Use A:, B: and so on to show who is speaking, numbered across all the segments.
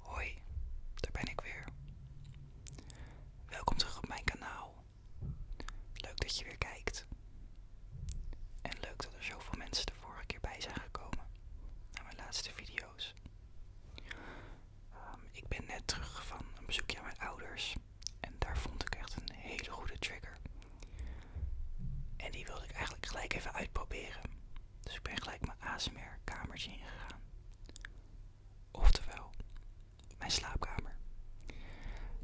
A: Hoi, daar ben ik weer. Welkom terug op mijn kanaal. Leuk dat je weer kijkt. En leuk dat er zoveel mensen de vorige keer bij zijn gekomen naar mijn laatste video's. Ehm, ik ben net terug van een bezoekje aan mijn ouders. En daar vond ik echt een hele goede trigger. En die wilde ik eigenlijk gelijk even uitproberen. Dus ik ben gelijk mijn ASMR kamertje ingegaan. Oftewel, mijn slaapkamer.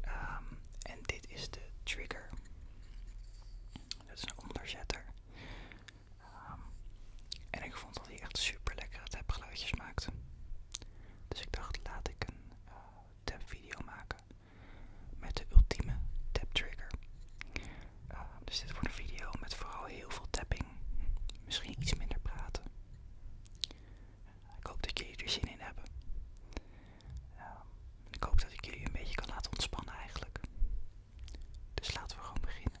A: Ehm, en dit is de trigger. Dat is een onderzetter. Ehm, en ik vond dat hij echt super lekkere tapgeluidjes maakte. Dus ik dacht, laat ik een tap eh, tapvideo maken met de ultieme tap trigger. Ehm, dus dit wordt een video met vooral heel veel tapping. Misschien iets minder praten. Ik hoop dat jullie er zin in hebben. Ehm, ik hoop dat ik jullie een beetje kan laten ontspannen eigenlijk. Dus laten we gewoon beginnen.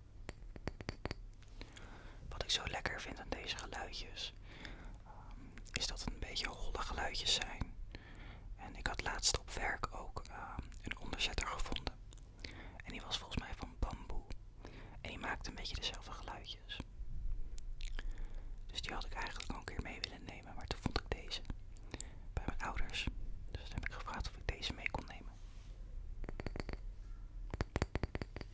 A: Wat ik zo lekker vind aan deze geluidjes, ehm, is dat het een beetje holle geluidjes zijn. En ik had laatst op werk ook ehm, een onderzetter gevonden. En die was volgens mij van bamboe. En die maakte een beetje dezelfde geluidjes. Dus die had ik eigenlijk al een keer mee willen nemen, maar toen vond ik deze bij mijn ouders. Dus toen heb ik gevraagd of ik deze mee kon nemen.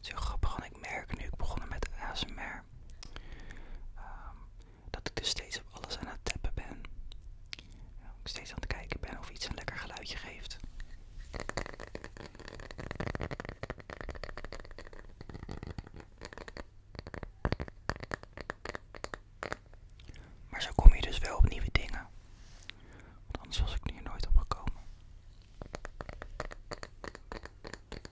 A: zo grappig, want ik merk nu ik begonnen met ASMR ehm, dat ik dus steeds op alles aan het tappen ben. ook steeds aan het kijken ben of iets een lekker geluidje geeft. Maar zo kom je dus wel op nieuwe dingen. anders was ik hier nooit op gekomen.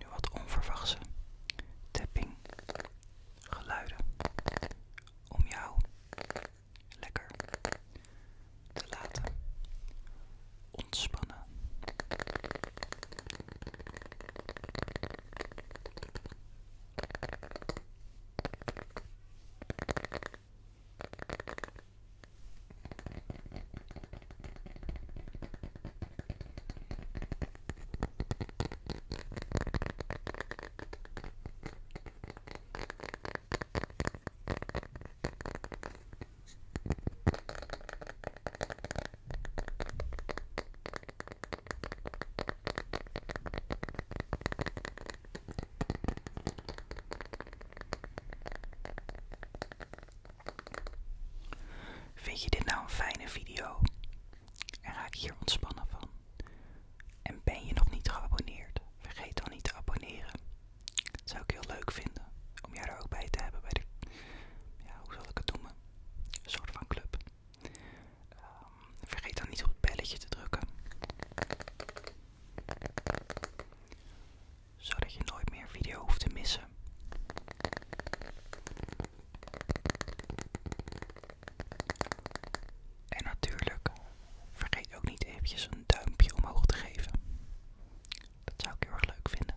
A: Nu wat onverwachte tapping geluiden om jou lekker te laten ontspannen. Vind je dit nou een fijne video? En raak hier ontspannen van. En ben je nog niet geabonneerd? Vergeet dan niet te abonneren. zou ik heel leuk vinden om jou er ook bij te hebben bij de, ja, hoe zal ik het noemen? Een soort van club. Ehm, vergeet dan niet op het belletje te drukken. Zodat je nooit meer video hoeft te missen. En natuurlijk, vergeet ook niet eventjes een duimpje omhoog te geven. Dat zou ik heel erg leuk vinden.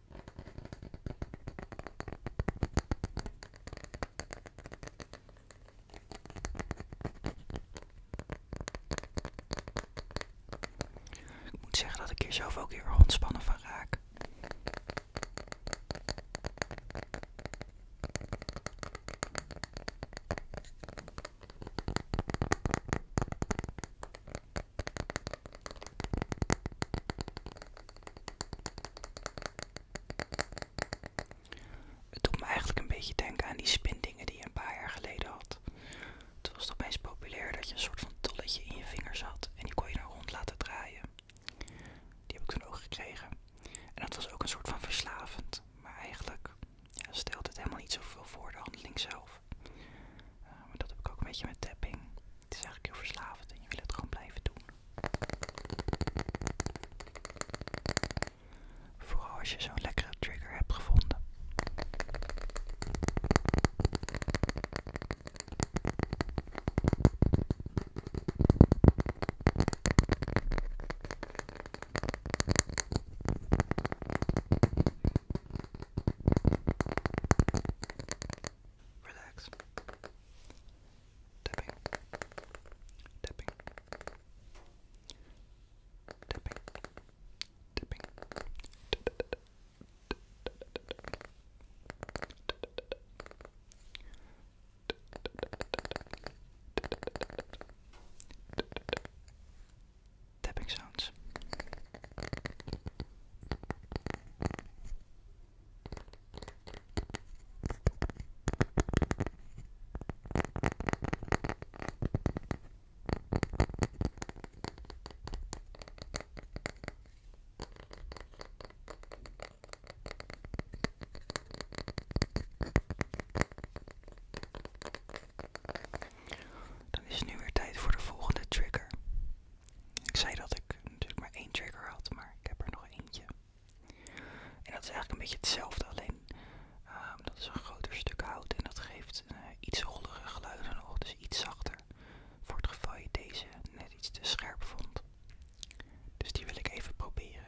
A: Ik moet zeggen dat ik hier zelf ook weer ontspannen van raak. Het doet me eigenlijk een beetje denken aan die spindingen die je een paar jaar geleden had. Toen was het opeens populair dat je een soort van tolletje in je vingers had en die kon je dan rond laten draaien. Die heb ik toen ook gekregen. En dat was ook een soort van verslavend, maar eigenlijk stelde het helemaal niet zoveel voor de handeling zelf. Eh, maar dat heb ik ook een beetje met tapping. Het is eigenlijk heel verslavend en je wil het gewoon blijven doen. Vooral als je zo'n lekkere trigger hebt gevonden. Relax. Tapping. Tapping. Tapping. Tapping. Tapping. tapping sounds. Dan is nu weer tijd voor de volgende trigger. Ik zei dat ik natuurlijk maar één trigger had, maar ik heb er nog eentje. En dat is eigenlijk een beetje hetzelfde, alleen ehm, dat is een groter stuk hout en dat geeft een eh, iets geluid geluiden nog, dus iets zachter. Voor het geval je deze net iets te scherp vond. Dus die wil ik even proberen.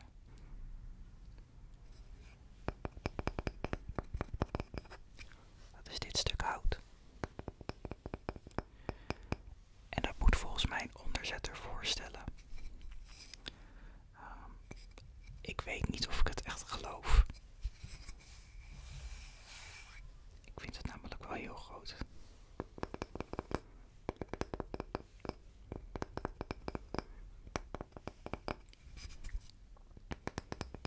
A: Dat is dit stuk hout. En dat moet volgens mij een onderzetter voorstellen. Ehm, ik weet niet of ik het echt geloof. Ik vind het namelijk wel heel groot.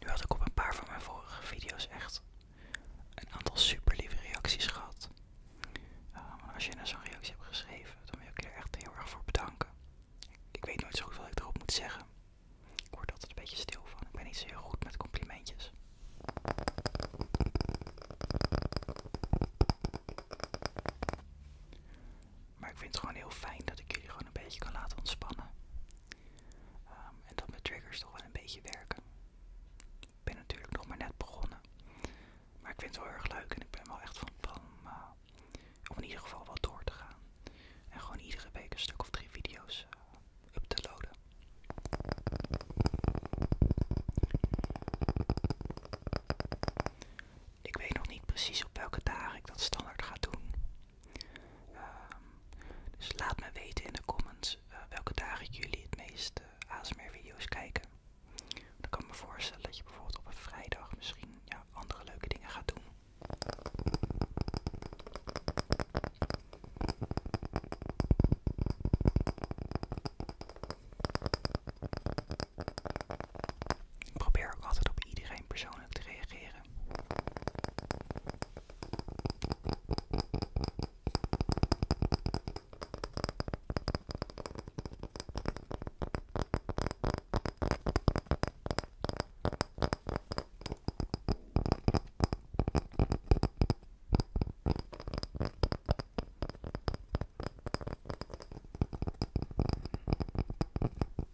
A: Nu had ik op een paar van mijn vorige video's echt een aantal super lieve reacties gehad. als je nou zo'n reactie hebt geschreven, dan wil ik je er echt heel erg voor bedanken. Ik, weet nooit zo goed wat ik erop moet zeggen. Ik word altijd een beetje stil van. Ik ben niet zo heel goed met complimentjes. Maar ik vind het gewoon heel fijn dat ik jullie gewoon een beetje kan laten ontspannen. Ehm, en dat mijn triggers toch wel een beetje werken. Ik ben natuurlijk nog maar net begonnen. Maar ik vind het wel erg leuk en ik ben wel echt van plan om, eh, in ieder geval wel door te gaan. En gewoon iedere week een stuk of drie video's eh, up te loaden. Ik weet nog niet precies op welke dagen ik dat standaard ga doen. Ehm, dus laat me weten in de comments welke eh, welke dagen jullie het meest uh, eh, ASMR-video's kijken. Dan kan ik me voorstellen dat je bijvoorbeeld op een vrijdag misschien andere leuke dingen gaat doen. Ik probeer altijd op iedereen persoonlijk te reageren.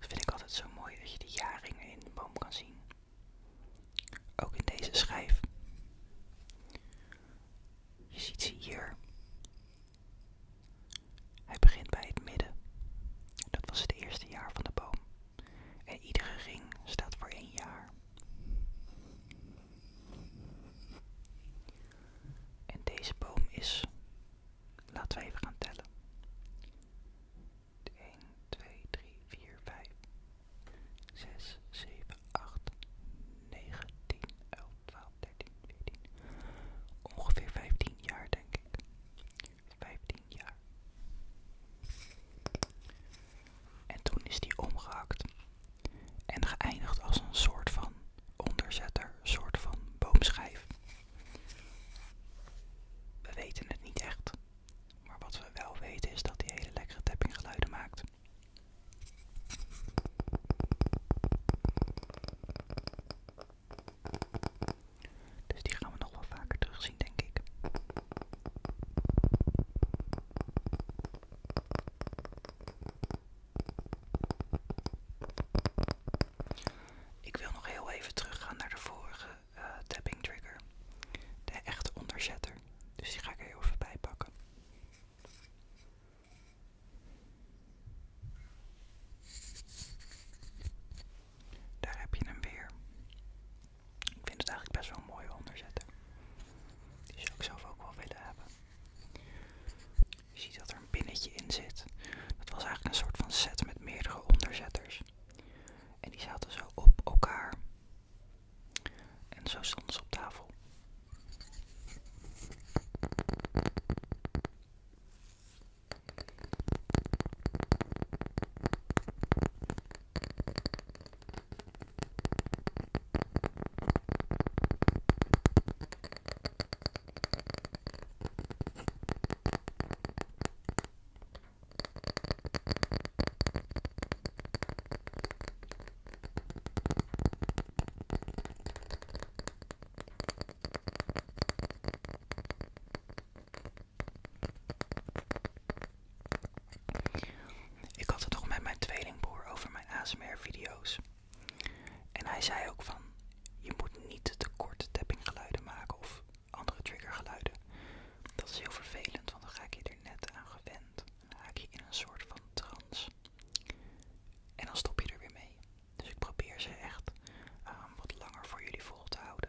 A: Dat vind ik altijd zo mooi dat je de jaringen in de boom kan zien. Ook in deze schijf. Je ziet ze hier. Hij begint bij het midden. Dat was het eerste jaar van de boom. En iedere ring staat voor één jaar. En deze boom is, laten we even gaan tellen. 1, 2, 3, 4, 5, 6, 7, 8, 9, 10, 11, 12, 13, 14. Ongeveer 15 jaar denk ik. 15 jaar. En toen is die omgehakt en geëindigd als een soort van onderzetter, soort van boomschijf. We weten het niet echt, maar wat we wel weten is dat die hele lekkere tappinggeluiden maakt. Dus die gaan we nog wel vaker terugzien, denk ik. Ik wil nog heel even terug gaan naar de vorige eh, tapping trigger. De echte onderzetter. Dus die ga ik er heel even bij pakken. Daar heb je hem weer. Ik vind het eigenlijk best wel een mooie onderzetter. Die zou ik zelf ook wel willen hebben. Je ziet dat er een pinnetje in zit. Dat was eigenlijk een soort van set met meerdere onderzetters. En die zaten zo op elkaar. En zo stonden ze op tafel. Ik had het toch met mijn tweelingbroer over mijn ASMR-video's. En hij zei ook van, je moet niet te korte tappinggeluiden maken of andere triggergeluiden. Dat is heel vervelend, want dan ga ik je er net aan gewend. Dan ik je in een soort van trance. En dan stop je er weer mee. Dus ik probeer ze echt ehm, wat langer voor jullie vol te houden.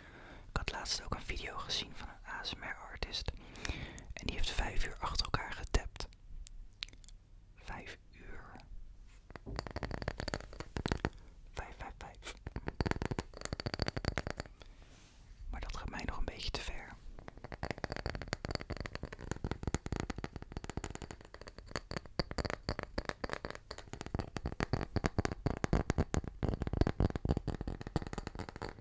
A: Ik had laatst ook een video gezien van een ASMR-artist. En die heeft vijf uur achter elkaar getapt. Vijf uur. Vijf, vijf, vijf. Maar dat gaat mij nog een beetje te ver. Dit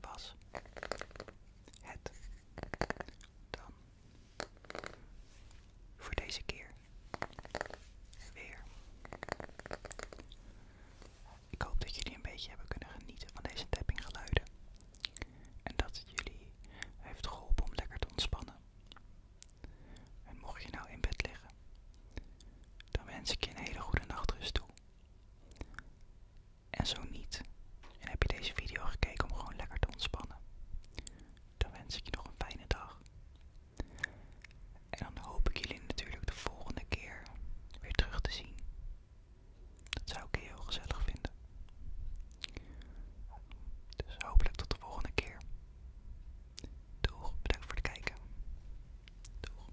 A: was het dan voor deze keer weer. Ik hoop dat jullie een beetje hebben kunnen genieten van deze tappinggeluiden. En dat het jullie heeft geholpen om lekker te ontspannen. En mocht je nou in bed liggen, dan wens ik je een hele goede nachtrust toe. En zo niet. En heb je deze video gekeken om gewoon lekker te ontspannen. Dan wens ik je nog een fijne dag. En dan hoop ik jullie natuurlijk de volgende keer weer terug te zien. Dat zou ik heel gezellig vinden. Dus hopelijk tot de volgende keer. Doeg, bedankt voor het kijken. Doeg.